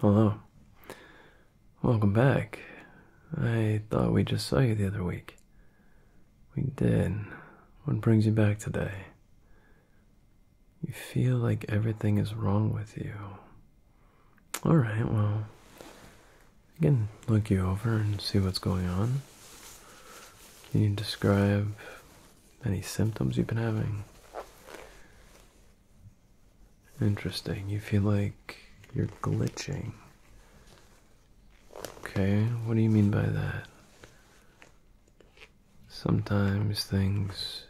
Hello. Welcome back. I thought we just saw you the other week. We did. What brings you back today? You feel like everything is wrong with you. Alright, well, I can look you over and see what's going on. Can you describe any symptoms you've been having? Interesting. You feel like you're glitching. Okay, what do you mean by that? Sometimes things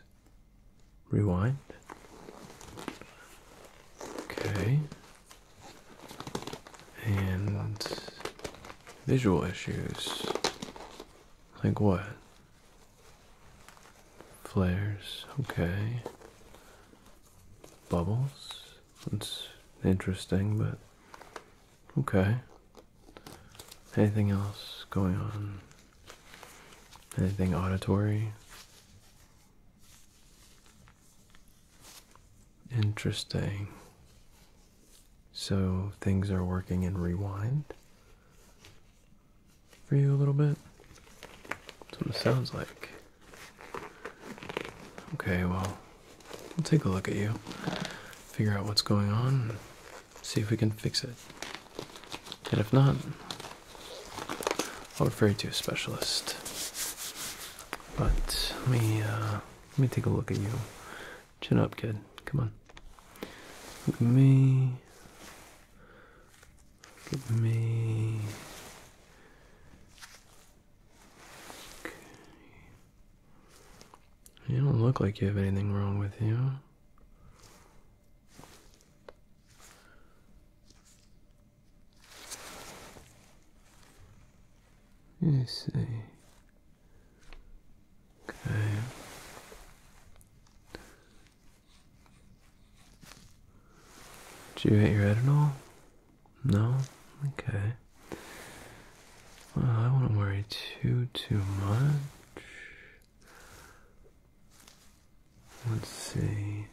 rewind. Okay. And visual issues. Like what? Flares, okay. Bubbles, that's interesting, but okay. Anything else going on? Anything auditory? Interesting. So things are working in rewind for you a little bit. That's what it sounds like. Okay, well, we'll take a look at you, figure out what's going on, see if we can fix it. And if not, I'll refer you to a specialist. But let me uh, let me take a look at you. Chin up, kid. Come on. Look at me. Give me. Okay. You don't look like you have anything wrong with you. You see. Okay. Did you hit your head at all? No? Okay. Well, I wouldn't worry too, too much. Let's see.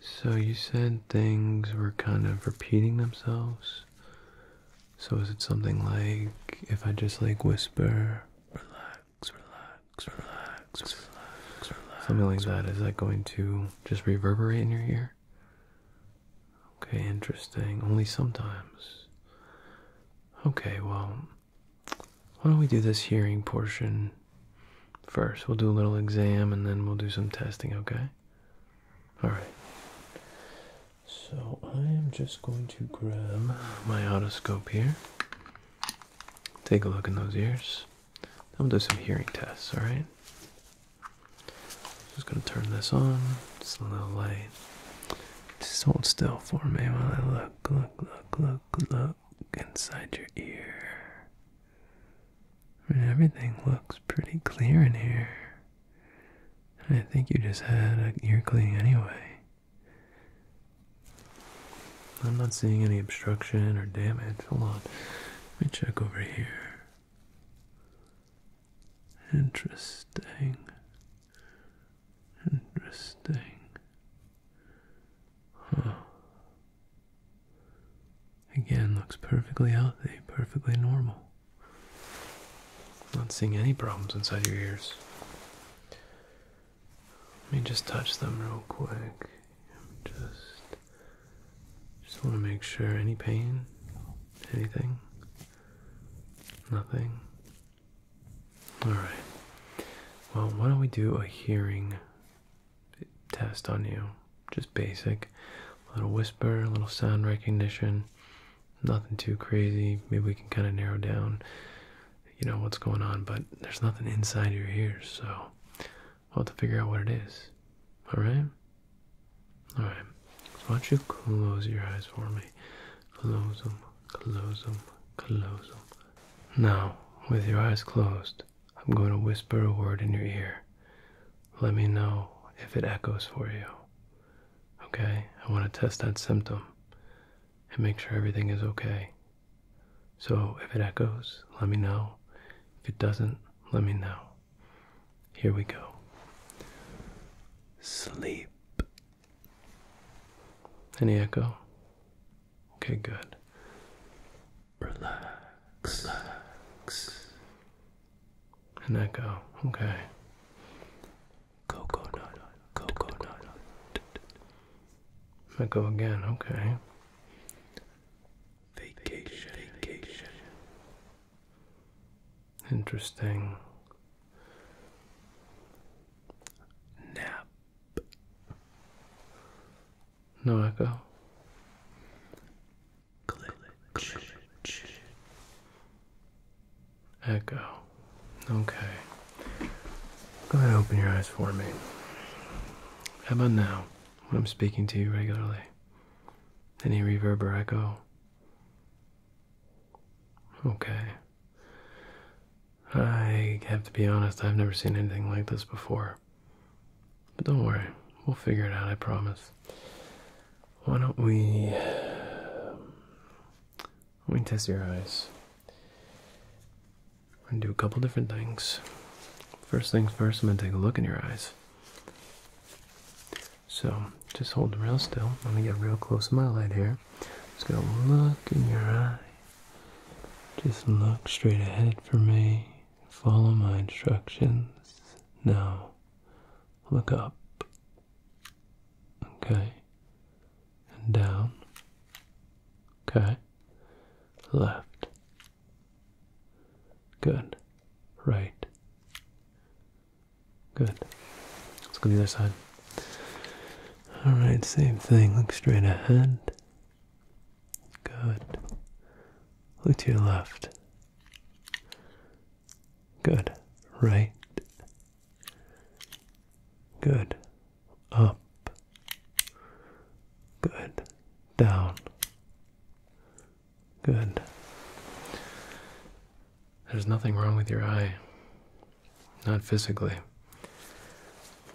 So you said things were kind of repeating themselves. So is it something like if I just like whisper, relax? relax, relax, relax, relax, relax. Something like that. Is that going to just reverberate in your ear? Okay, interesting. Only sometimes. Okay, well, why don't we do this hearing portion first? We'll do a little exam and then we'll do some testing, okay? Alright. So I am just going to grab my otoscope here. Take a look in those ears. I'm gonna do some hearing tests, alright? Just gonna turn this on. It's a little light. Just hold still for me while I look, look, look, look, look inside your ear. I mean, everything looks pretty clear in here. I think you just had a ear cleaning anyway. I'm not seeing any obstruction or damage. Hold on. Let me check over here. Interesting. Interesting. Huh. Again, looks perfectly healthy, perfectly normal. Not seeing any problems inside your ears. Let me just touch them real quick. Just, just want to make sure any pain, anything, nothing. All right. Well, why don't we do a hearing test on you? Just basic, a little whisper, a little sound recognition. Nothing too crazy. Maybe we can kind of narrow down you know what's going on, but there's nothing inside your ears, so we'll have to figure out what it is. Alright? Alright. So why don't you close your eyes for me? Close them, close them, close them. Now, with your eyes closed, I'm going to whisper a word in your ear. Let me know if it echoes for you. Okay? I want to test that symptom and make sure everything is okay. So if it echoes, let me know. If it doesn't, let me know. Here we go. Sleep. Any echo? Okay, good. Relax. Relax. An echo. Okay. Coconut. Coconut. Let go again, okay. Vacation, vacation. Interesting. Nap. No echo. Glitch. Echo. Okay. Go ahead and open your eyes for me. How about now, when I'm speaking to you regularly? Any reverber echo? Okay. I have to be honest, I've never seen anything like this before. But don't worry, we'll figure it out, I promise. Why don't we. Let me test your eyes. I'm gonna do a couple different things. First things first, I'm gonna take a look in your eyes. So just hold real still. Let me get real close to my light here. Just going look in your eye. Just look straight ahead for me. Follow my instructions. Now, look up. Okay and down. Okay. Left. Good. Right. Good. Let's go the other side. Alright, same thing. Look straight ahead. Good. Look to your left. Good. Right. Good up, good, down, good. There's nothing wrong with your eye, not physically.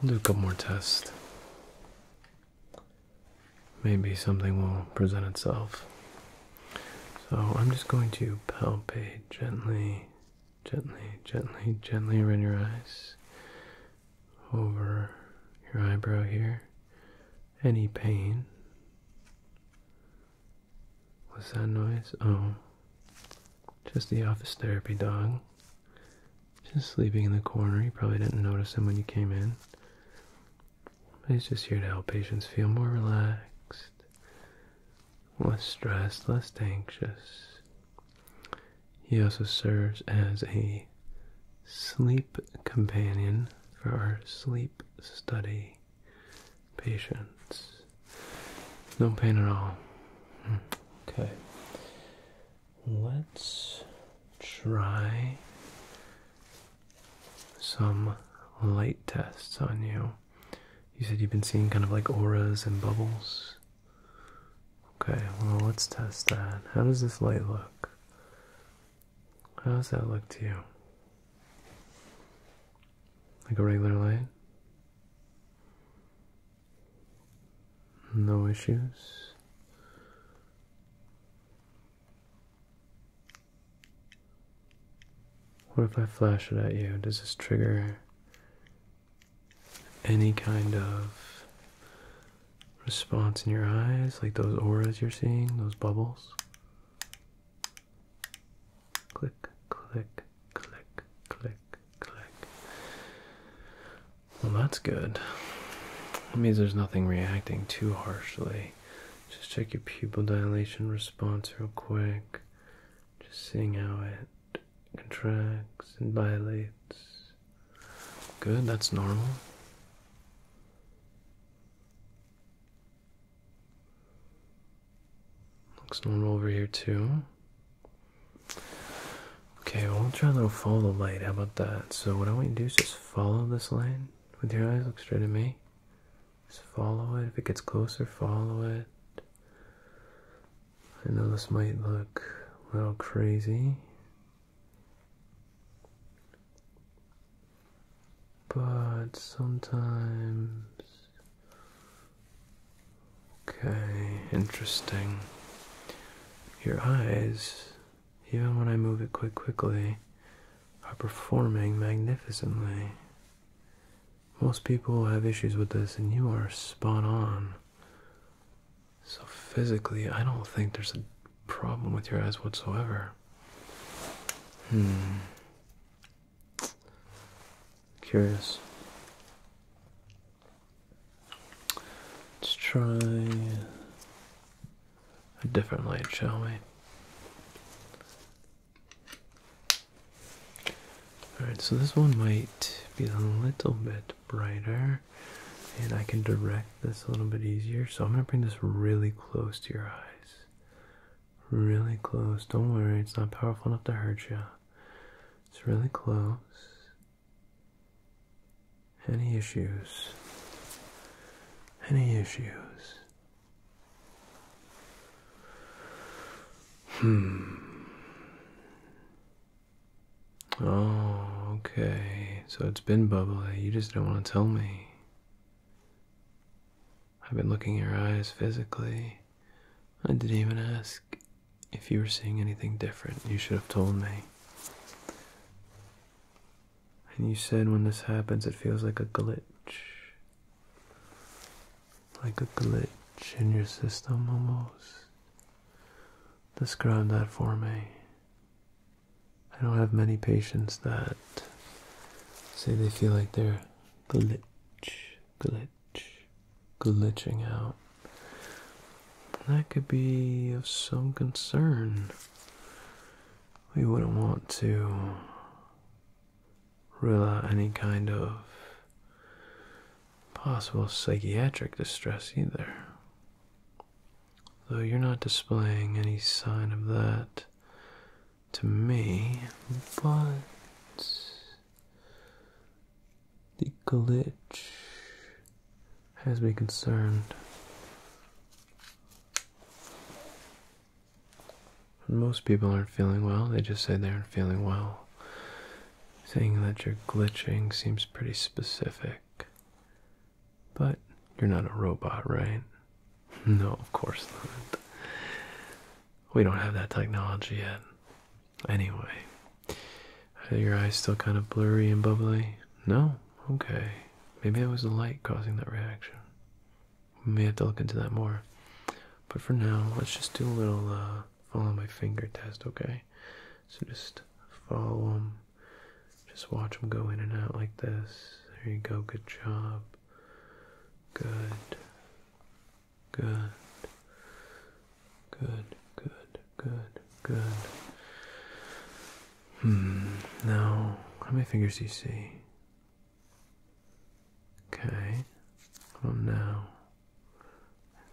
We'll do a couple more tests. Maybe something will present itself. So I'm just going to palpate gently Gently, gently, gently run your eyes over your eyebrow here. Any pain? Was that noise? Oh, just the office therapy dog. Just sleeping in the corner. You probably didn't notice him when you came in. But he's just here to help patients feel more relaxed, less stressed, less anxious. He also serves as a sleep companion for our sleep study patients. No pain at all. Hmm. Okay. Let's try some light tests on you. You said you've been seeing kind of like auras and bubbles. Okay, well, let's test that. How does this light look? How does that look to you? Like a regular light? No issues? What if I flash it at you? Does this trigger any kind of response in your eyes, like those auras you're seeing, those bubbles. Click, click, click, click, click. Well, that's good. That means there's nothing reacting too harshly. Just check your pupil dilation response real quick. Just seeing how it contracts and dilates. Good, that's normal. Looks normal over here too. Okay, well, we'll try a little follow the light. How about that? So what I want you to do is just follow this line with your eyes. Look straight at me. Just follow it. If it gets closer, follow it. I know this might look a little crazy, but sometimes. Okay, interesting. Your eyes, even when I move it quite quickly, are performing magnificently. Most people have issues with this, and you are spot on. So, physically, I don't think there's a problem with your eyes whatsoever. Hmm. Curious. Let's try a different light, shall we? Alright, so this one might be a little bit brighter and I can direct this a little bit easier. So I'm going to bring this really close to your eyes. Really close. Don't worry, it's not powerful enough to hurt you. It's really close. Any issues? Any issues? Hmm. Oh, okay. So it's been bubbly. You just don't want to tell me. I've been looking your eyes physically. I didn't even ask if you were seeing anything different. You should have told me. And you said when this happens, it feels like a glitch. Like a glitch in your system almost. Describe that for me. I don't have many patients that say they feel like they're glitch, glitch, glitching out. That could be of some concern. We wouldn't want to rule out any kind of possible psychiatric distress either. Though you're not displaying any sign of that to me, but the glitch has me concerned. most people aren't feeling well, they just say they aren't feeling well. Saying that you're glitching seems pretty specific. But you're not a robot, right? No, of course not. We don't have that technology yet. Anyway, are your eyes still kind of blurry and bubbly? No? Okay. Maybe it was the light causing that reaction. We may have to look into that more. But for now, let's just do a little uh, follow my finger test, okay? So just follow them. Just watch them go in and out like this. There you go. Good job. Good. Good. Good. Good. Good. Good. Hmm. Now, how many fingers do you see? Okay. Well, now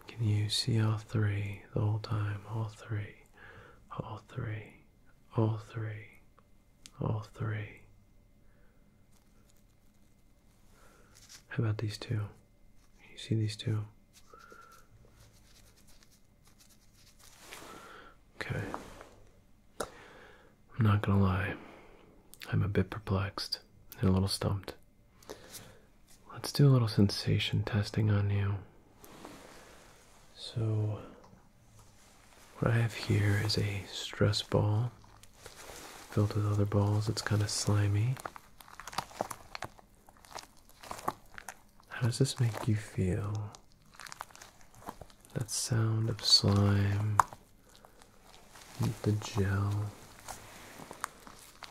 can you see all three the whole time? All three, all three, all three, all three. How about these two? You see these two? Okay. I'm not gonna lie. I'm a bit perplexed and a little stumped. Let's do a little sensation testing on you. So, what I have here is a stress ball filled with other balls. It's kind of slimy. How does this make you feel? That sound of slime, the gel.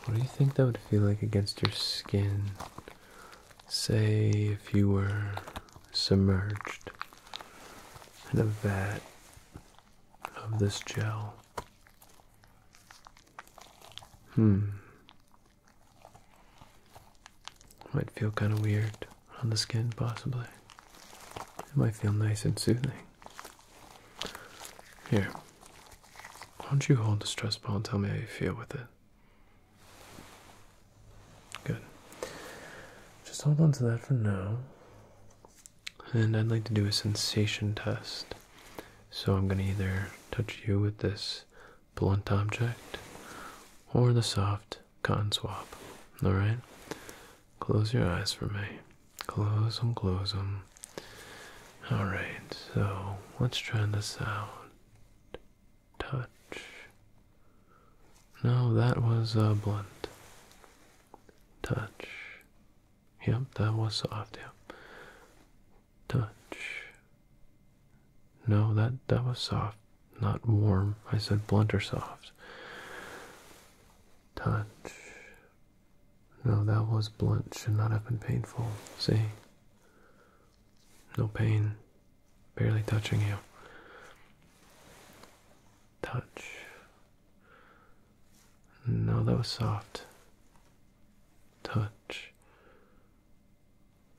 What do you think that would feel like against your skin? Say if you were submerged in a vat of this gel. Hmm. Might feel kind of weird on the skin, possibly. It might feel nice and soothing. Here. Why don't you hold the stress ball and tell me how you feel with it? Good. Just hold on to that for now. And I'd like to do a sensation test. So I'm going to either touch you with this blunt object or the soft cotton swab. Alright? Close your eyes for me. Close them, close them. All right, so let's try this out. Touch. No, that was uh, blunt. Touch. Yep, that was soft. Yep. Touch. No, that that was soft, not warm. I said blunt or soft. Touch. No, that was blunt. Should not have been painful. See? No pain. Barely touching you. Touch. No, that was soft. Touch.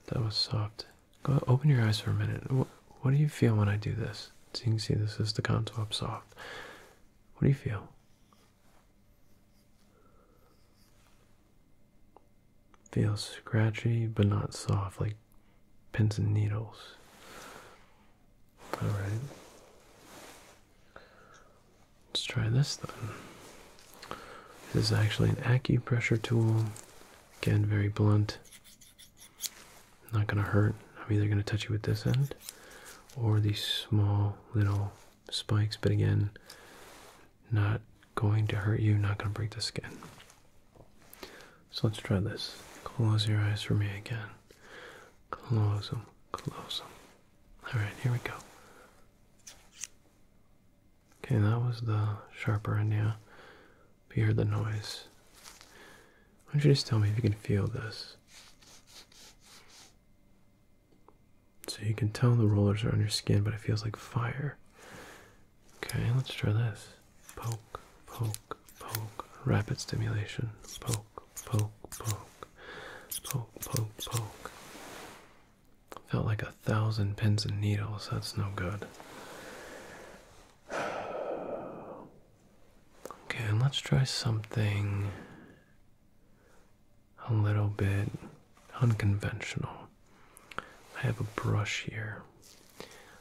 That was soft. Go open your eyes for a minute. What, do you feel when I do this? So you can see this is the contour up soft. What do you feel? Feels scratchy but not soft like pins and needles. Alright. Let's try this then. This is actually an acupressure tool. Again, very blunt. Not gonna hurt. I'm either gonna touch you with this end or these small little spikes, but again, not going to hurt you, not going to break the skin. So let's try this. Close your eyes for me again. Close them, close them. Alright, here we go. Okay, that was the sharper end, yeah. But you heard the noise. Why don't you just tell me if you can feel this? So you can tell the rollers are on your skin, but it feels like fire. Okay, let's try this. Poke, poke, poke. Rapid stimulation. Poke, poke, poke. Poke, poke, poke. Felt like a thousand pins and needles. That's no good. Okay, and let's try something a little bit unconventional. I have a brush here.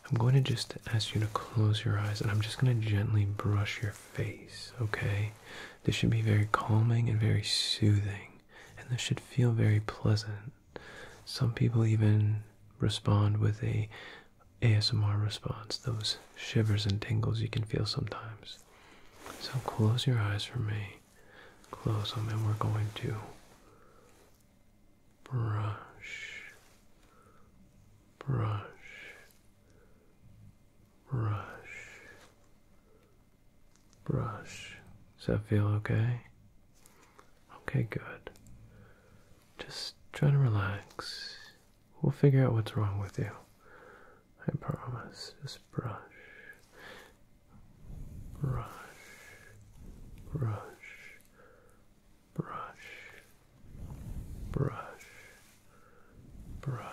I'm going to just ask you to close your eyes and I'm just going to gently brush your face, okay? This should be very calming and very soothing, and this should feel very pleasant. Some people even respond with a ASMR response, those shivers and tingles you can feel sometimes. So close your eyes for me close them and we're going to brush, brush, brush, brush. Does that feel okay? Okay, good. Just try to relax. We'll figure out what's wrong with you. I promise. Just brush, brush, brush, brush, brush, brush.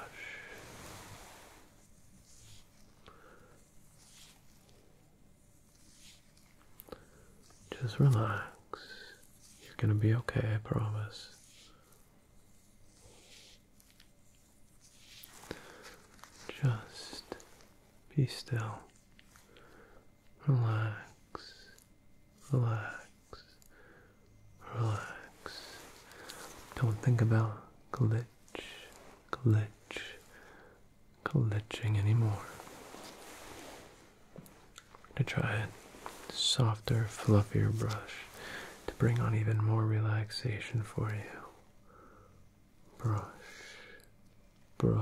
Just relax. You're going to be okay, I promise. Just be still. Relax. Relax. Relax. Don't think about glitch, glitch, glitching anymore. To try a softer, fluffier brush to bring on even more relaxation for you brush, brush,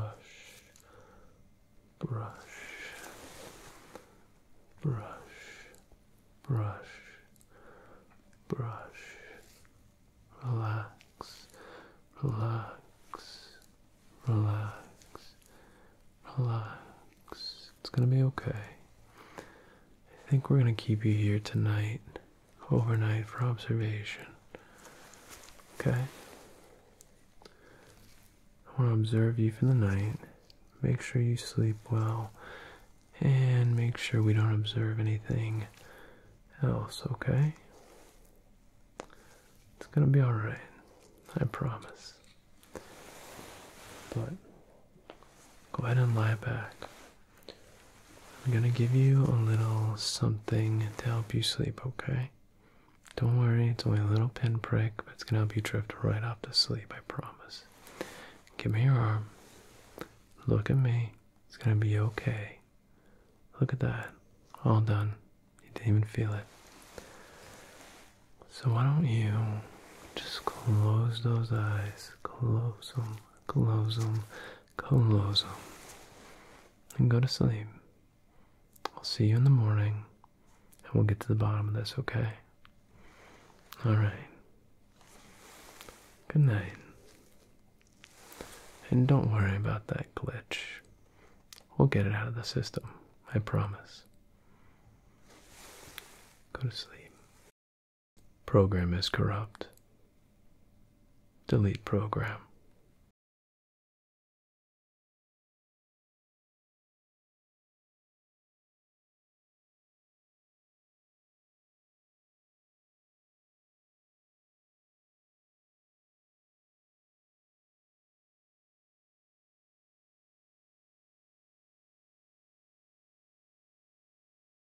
brush, brush, brush, brush, relax, relax, relax, relax. It's gonna be okay. I think we're gonna keep you here tonight overnight for observation. Okay? I want to observe you for the night. Make sure you sleep well. And make sure we don't observe anything else, okay? It's gonna be alright. I promise. But go ahead and lie back. I'm gonna give you a little something to help you sleep, okay? Don't worry, it's only a little pinprick, but it's gonna help you drift right off to sleep, I promise. Give me your arm. Look at me. It's gonna be okay. Look at that. All done. You didn't even feel it. So why don't you just close those eyes? Close them. Close them. Colossal. And go to sleep. I'll see you in the morning and we'll get to the bottom of this, okay? Alright. Good night. And don't worry about that glitch. We'll get it out of the system, I promise. Go to sleep. Program is corrupt. Delete program.